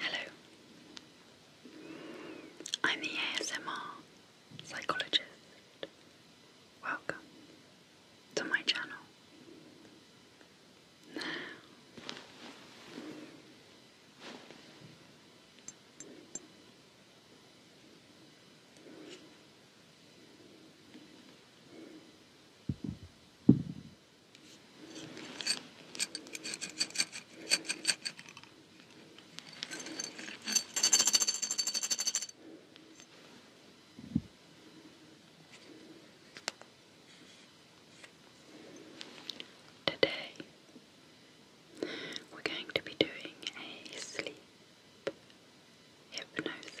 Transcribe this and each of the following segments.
Hello. I'm the ASMR psychologist. Welcome to my channel. Today we're going to be doing a sleep hypnosis.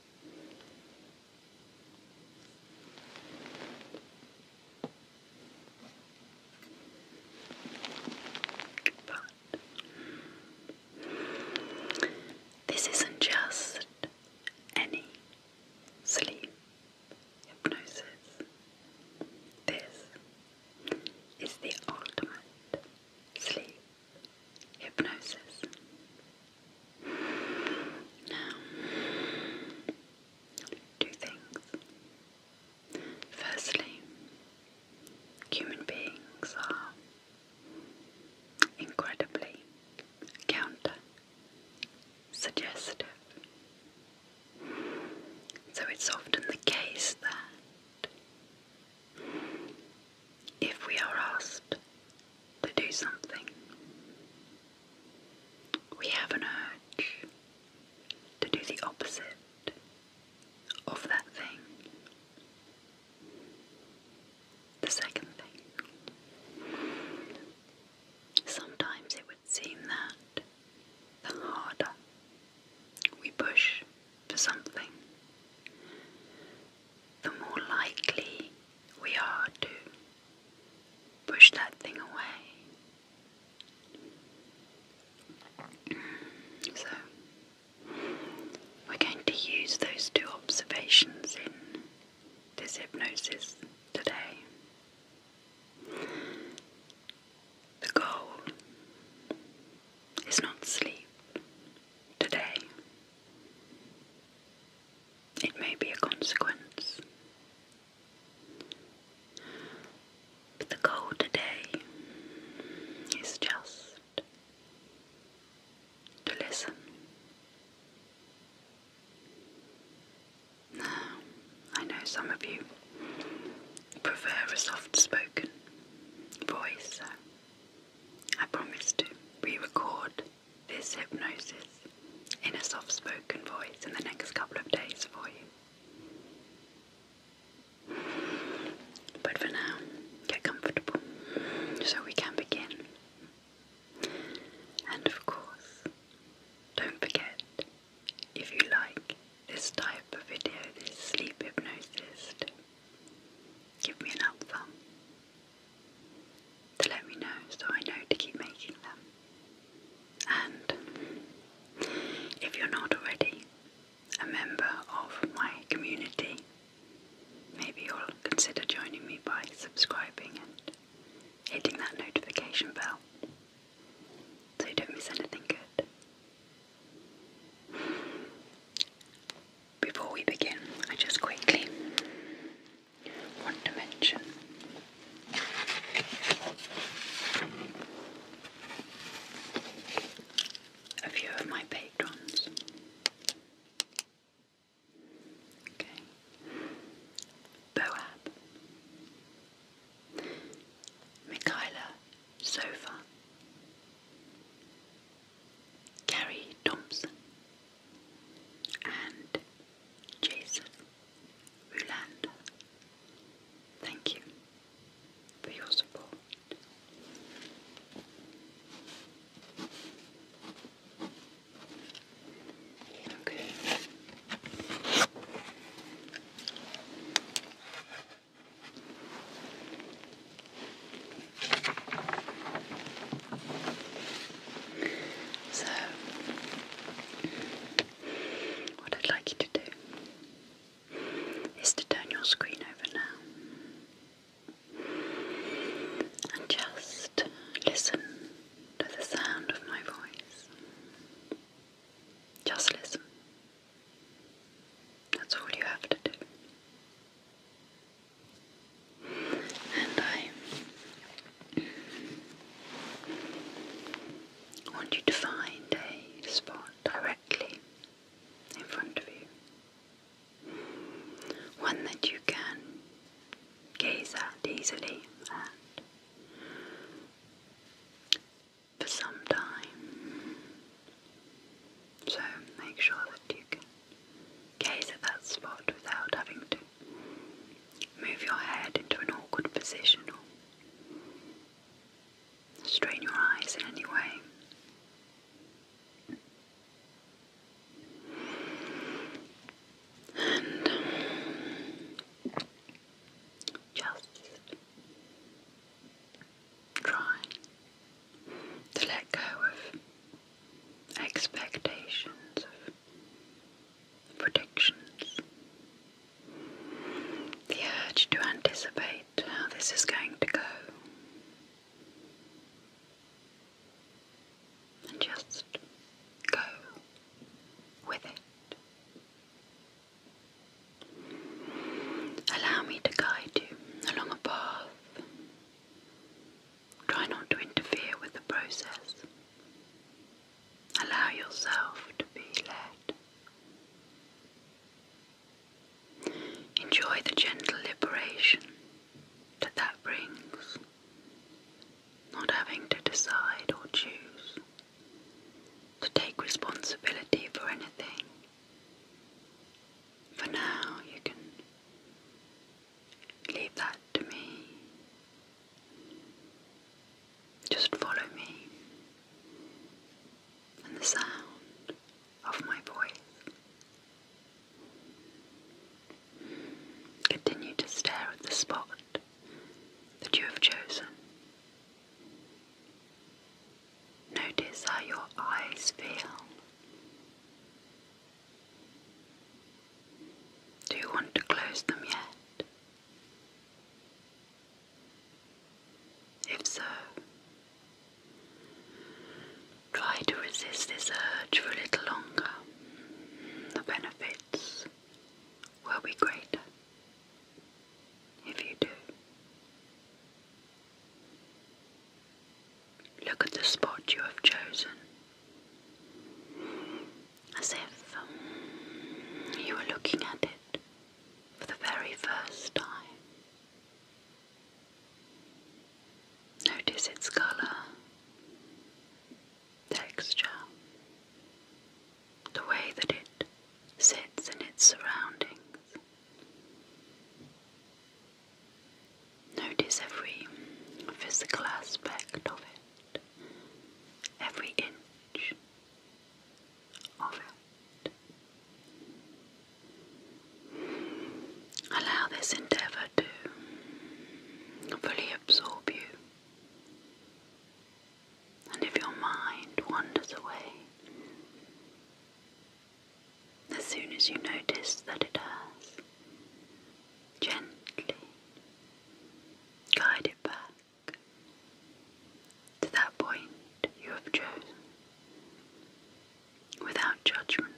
this isn't just any sleep hypnosis. This is the ultimate sleep hypnosis. Now, two things. Firstly, human beings are incredibly counter suggestive. So it's often the case that if we are asked to do something, we have an urge to do the opposite of that thing. The second thing. Sometimes it would seem that the harder we push for something, the more likely we are to push that thing away. Mm, so, we're going to use those two observations in this hypnosis today. The goal is not sleep today. It may be a consequence. But the goal today is just to listen. Now, I know some of you prefer a soft spoken voice, I promise to re record this hypnosis in a soft spoken voice in the next couple of days for you. But for now, get comfortable so we can begin. And of course, don't forget if you like this type of video, this sleep hypnosis Give me an help film to let me know so I know to keep making them. And if you're not already a member of my community, maybe you'll consider joining me by subscribing and hitting that notification bell so you don't miss anything good. Before we begin, I just quickly want to mention a few of my patrons. Okay. Boab, Michaela Sofa, Gary Thompson, and Jason Ruland. Thank you for your support. Okay. So, what I'd like you to do is to turn your screen over now and just listen to the sound of my voice. Just listen. That's all you have to do. And I want you to find a spot directly in front of you, one that you can gaze at easily and for some time so make sure that you can gaze at that spot without having to move your head into an awkward position or strain your eyes in any way. And just trying to let go of expectations, predictions, the urge to anticipate how this is going to go. And just go with it. Allow me to guide you along a path Try not to interfere with the process. Allow yourself to be led. Enjoy the gentle liberation that that brings, not having to decide or choose, to take responsibility for anything. For now, you can leave that to me. Just follow me and the sound of my voice. Continue to stare at the spot that you have chosen. Notice how your eyes feel. Do you want to close them yet? If so, try to resist this urge for a little longer. The benefits will be greater if you do. Look at the spot you have chosen, as if you were looking at it for the very first time. Notice its colour, texture, the way that it sits in its surroundings. Notice every physical aspect of it, every inch of it. Allow this endeavour to fully absorb you. And if your mind wanders away, as soon as you notice that it has, gently guide it back to that point you have chosen without judgment.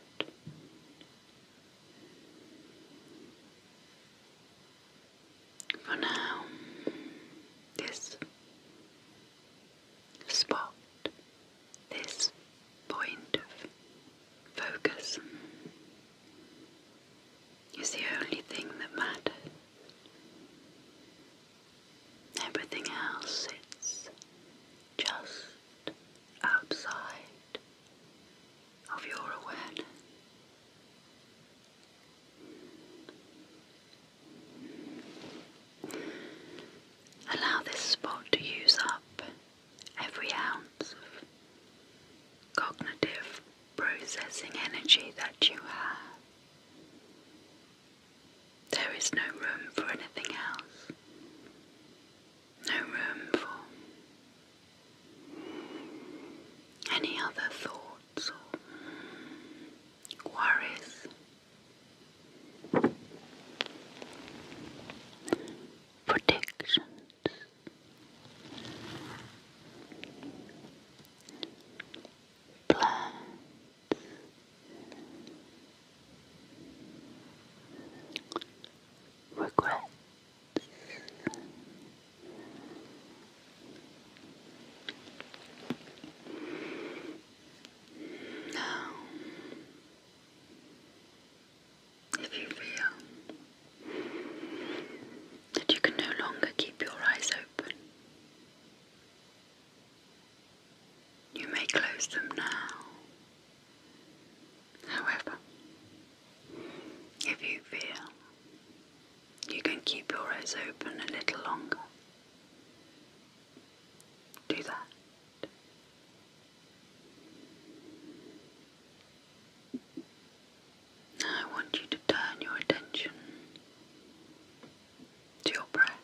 For now, this spot, this point of focus is the only thing that matters. Everything else sits just outside of your awareness. Allow this spot to use up every ounce of cognitive processing energy that you have. There is no room for anything else. No room for any other thoughts or worries Predictions. Plans. Regrets. Now, if you feel that you can no longer keep your eyes open, you may close them now. However, if you feel you can keep your eyes open a little longer, do that. I want you to turn your attention to your breath.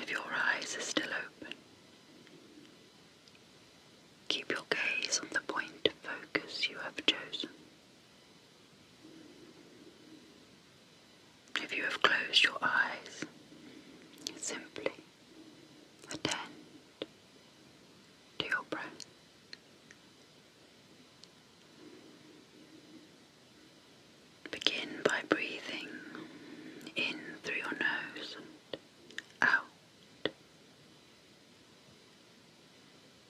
If your eyes are still open, keep your gaze on the point of focus you have chosen. If you have closed your eyes, simply attend to your breath. Begin by breathing in through your nose out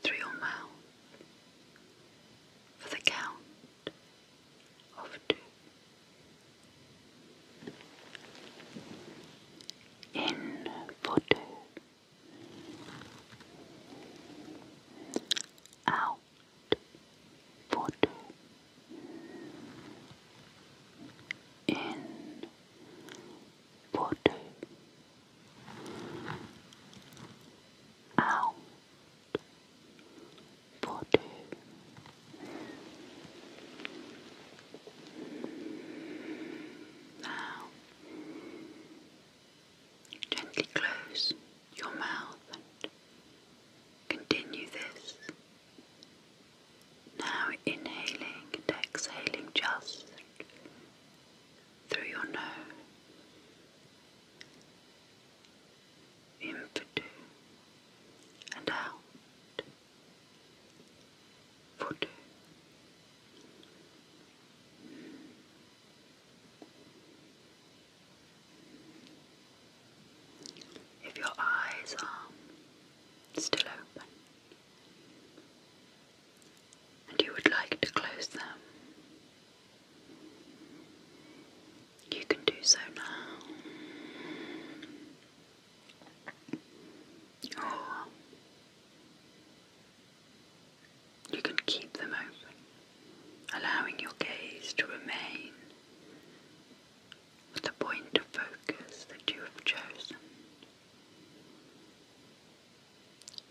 through your mouth for the count of two. In for two. Out for two. In for two out for two. Now, gently close your mouth and continue this. Now, inhaling and exhaling just through your nose, in two and out for two. If your eyes are still open, and you would like to close them, you can do so now. Or you can keep them open, allowing your gaze to remain with the point of focus that you have chosen.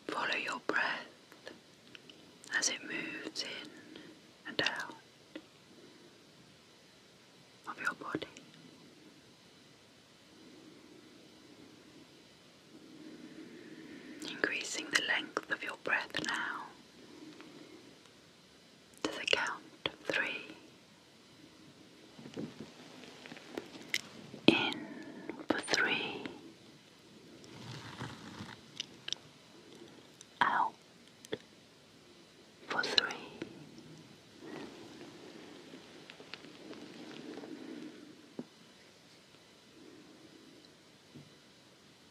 Follow your breath as it moves in and out of your body. Increasing the length of your breath now to the count of three. In for three out for three.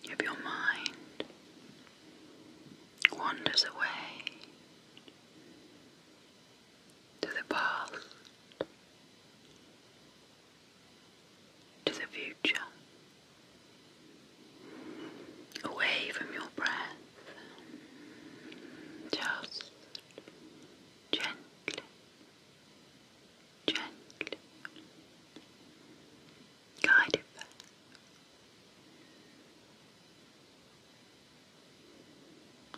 If your mind wanders away to the past to the future, away from your breath, just gently, gently guide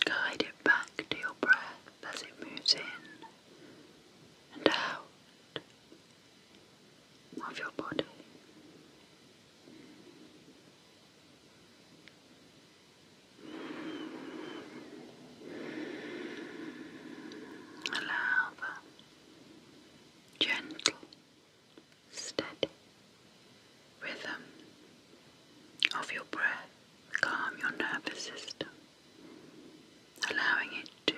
Guide it back to your breath as it moves in and out of your body. Allow the gentle, steady rhythm of your breath calm your nervous system allowing it to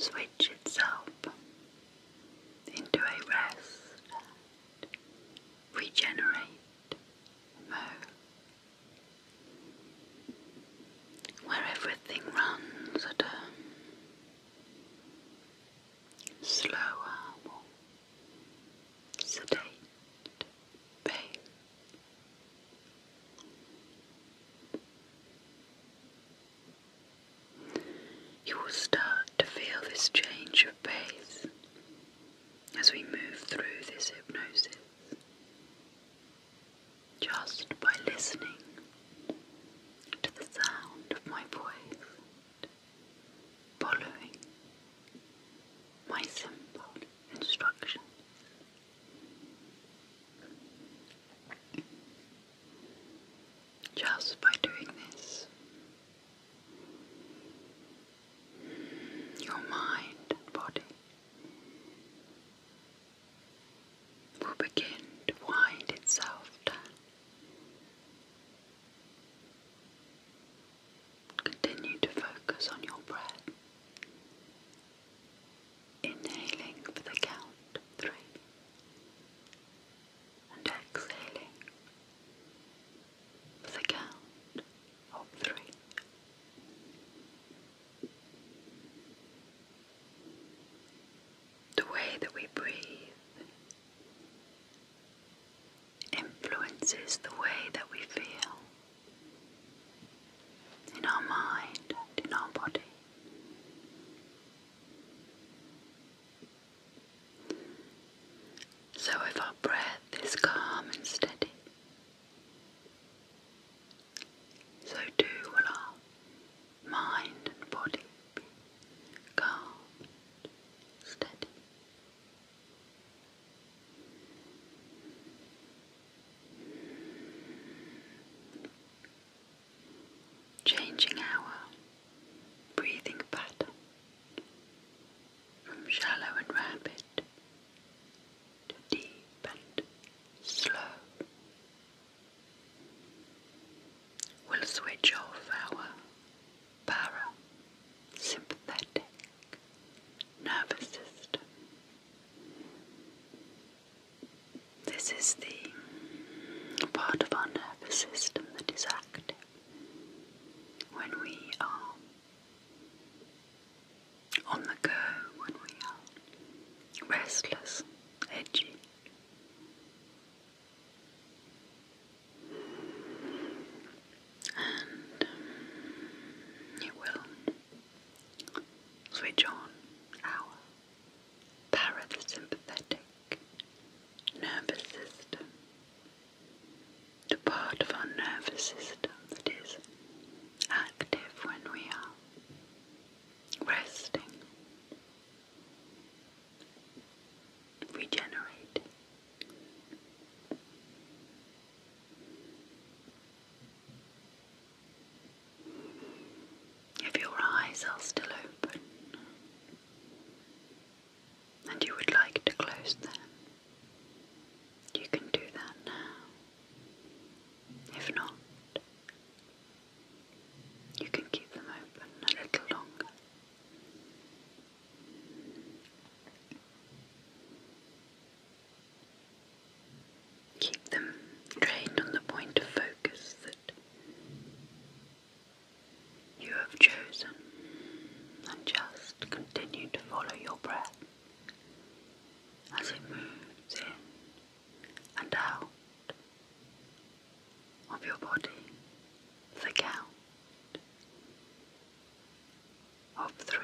switch itself into a rest regenerate mode where everything runs at a slower, more sedate pain. You will start to feel this change of pace as we move through this hypnosis just by listening to the sound of my voice, following my simple instruction. Just by doing this, your mind and body will begin to wind itself Continue to focus on your breath. Inhaling for the count three and exhaling for the count of three. The way that we breathe influences the way that we feel in our mind in our body. So, if our breath is calm and steady, so too will our mind and body be calm and steady. Changing our breathing pattern from shallow and rapid to deep and slow. We'll switch off our parasympathetic nervous system. This is the part of our nervous system that is active when we are on the go, when we are restless, edgy and um, it will switch on our parasympathetic nervous system, the part of our nervous system that is active when we are resting. Regenerating if your eyes are still open and you would like to close them, you can do that now. If not, you can keep them open a little longer Keep them trained on the point of focus that you have chosen and just continue to follow your breath as it moves in and out of your body for of three.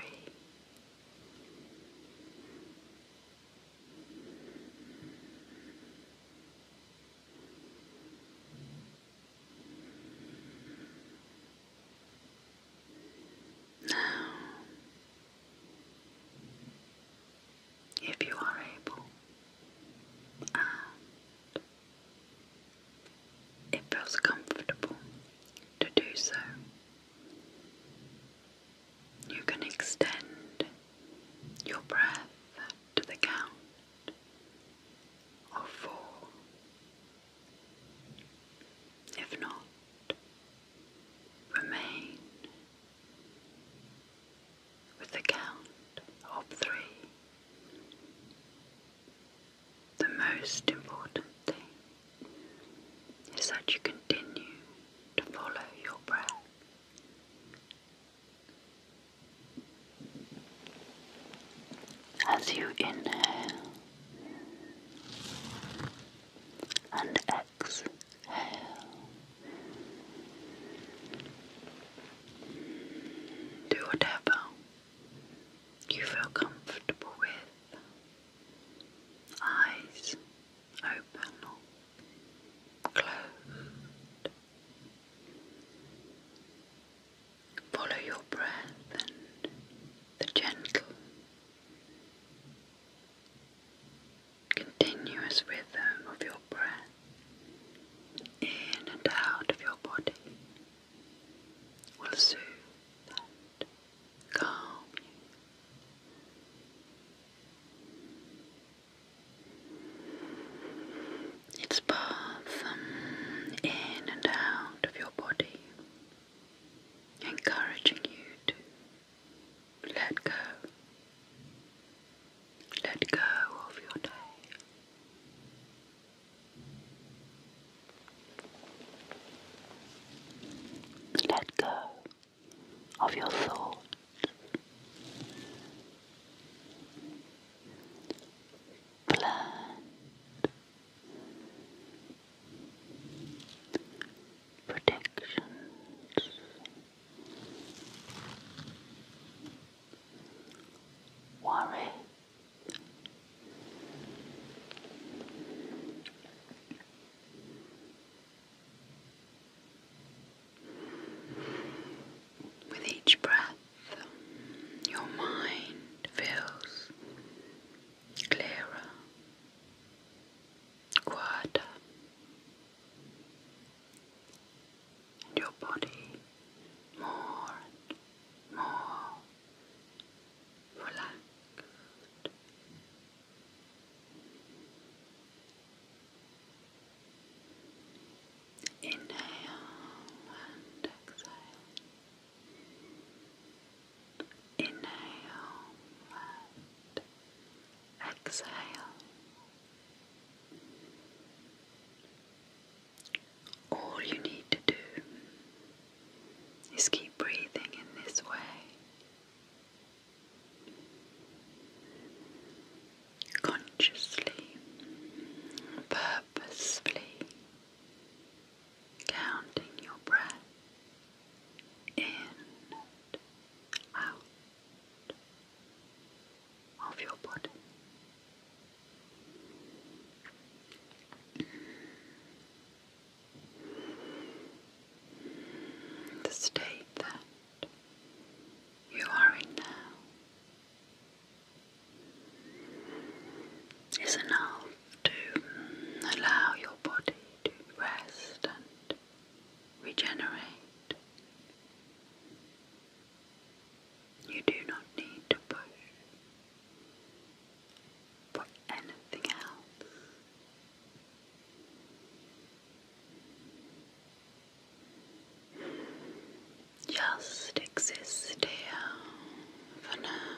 Now, if you are able and it feels comfortable to do so. You can extend your breath to the count of four. If not, remain with the count of three the most important thing is that you continue to follow your breath. As you inhale and exhale, do whatever you feel comfortable with. Eyes open or closed. Follow your breath and the gentle, continuous rhythm of your breath in and out of your body will soothe and calm you. Its path in and out of your body, encouraging you to let go. Let go of your day. Let go of your thoughts. Plan. Predictions. Worries. With each breath, your mind feels clearer, quieter, and your body more and more relaxed. Inhale and exhale. Inhale and exhale. All you need to do is keep breathing in this way. Consciously, purposefully counting your breath in and out of your body. The state that you are in now is enough to allow your body to rest and regenerate. You do not need to push for anything else. Just exist here for now.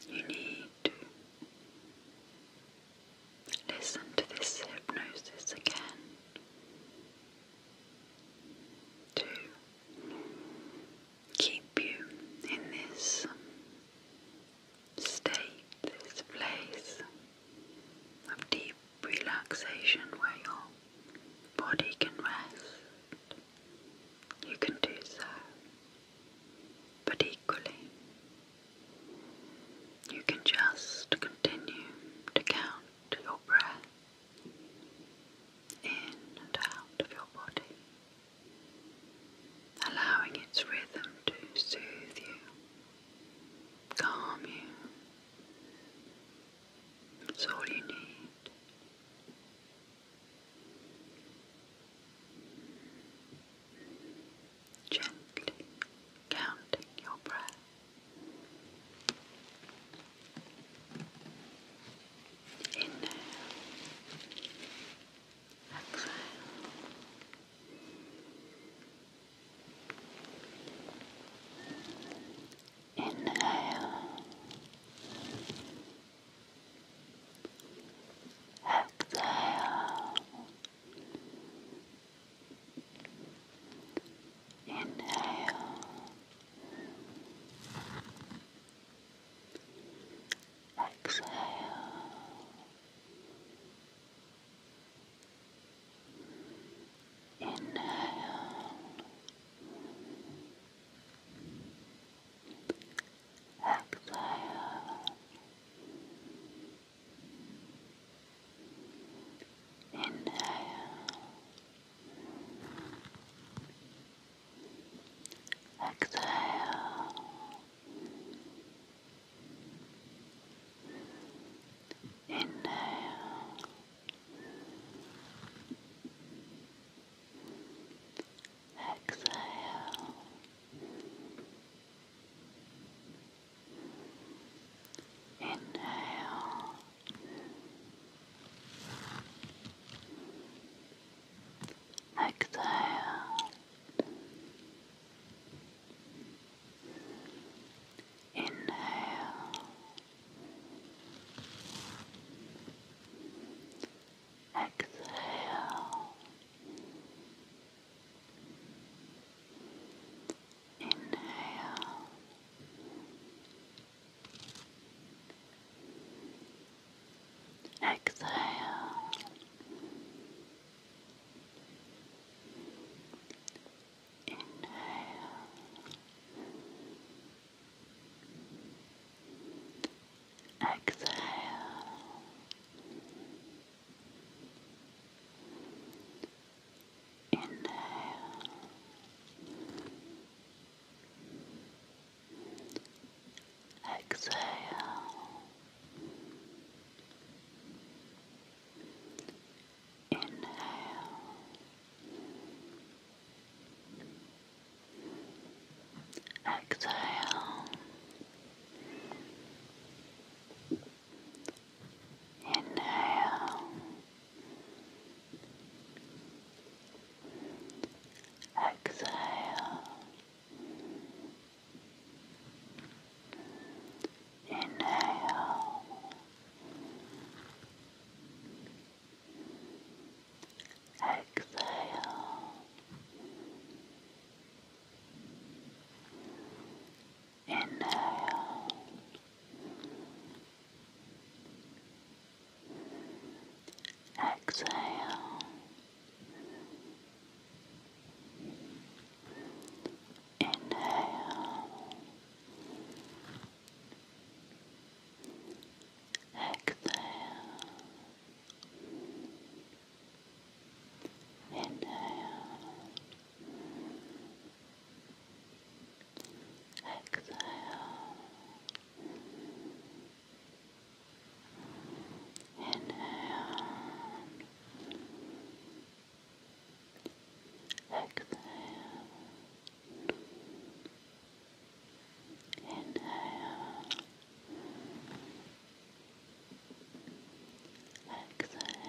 If you need to listen to this hypnosis again to keep you in this state, this place of deep relaxation where your body can rest, you can do so. But equally, you can just continue to count your breath in and out of your body allowing its rhythm to soothe you, calm you. That's all you need. Gently counting your breath. Inhale. Après, inhale, exhale, inhale. Exhale. Inhale. Exhale. Inhale. Exhale. Inhale. Exhale. Inhale. Exhale. Inhale. Exhale. Inhale. Exhale. Inhale. Exhale. Inhale. Exhale. Inhale. Exhale. Inhale. Exhale. Inhale. Exhale. Inhale. Exhale. Inhale. Exhale. Inhale. Exhale. Inhale. Exhale. Inhale. Exhale.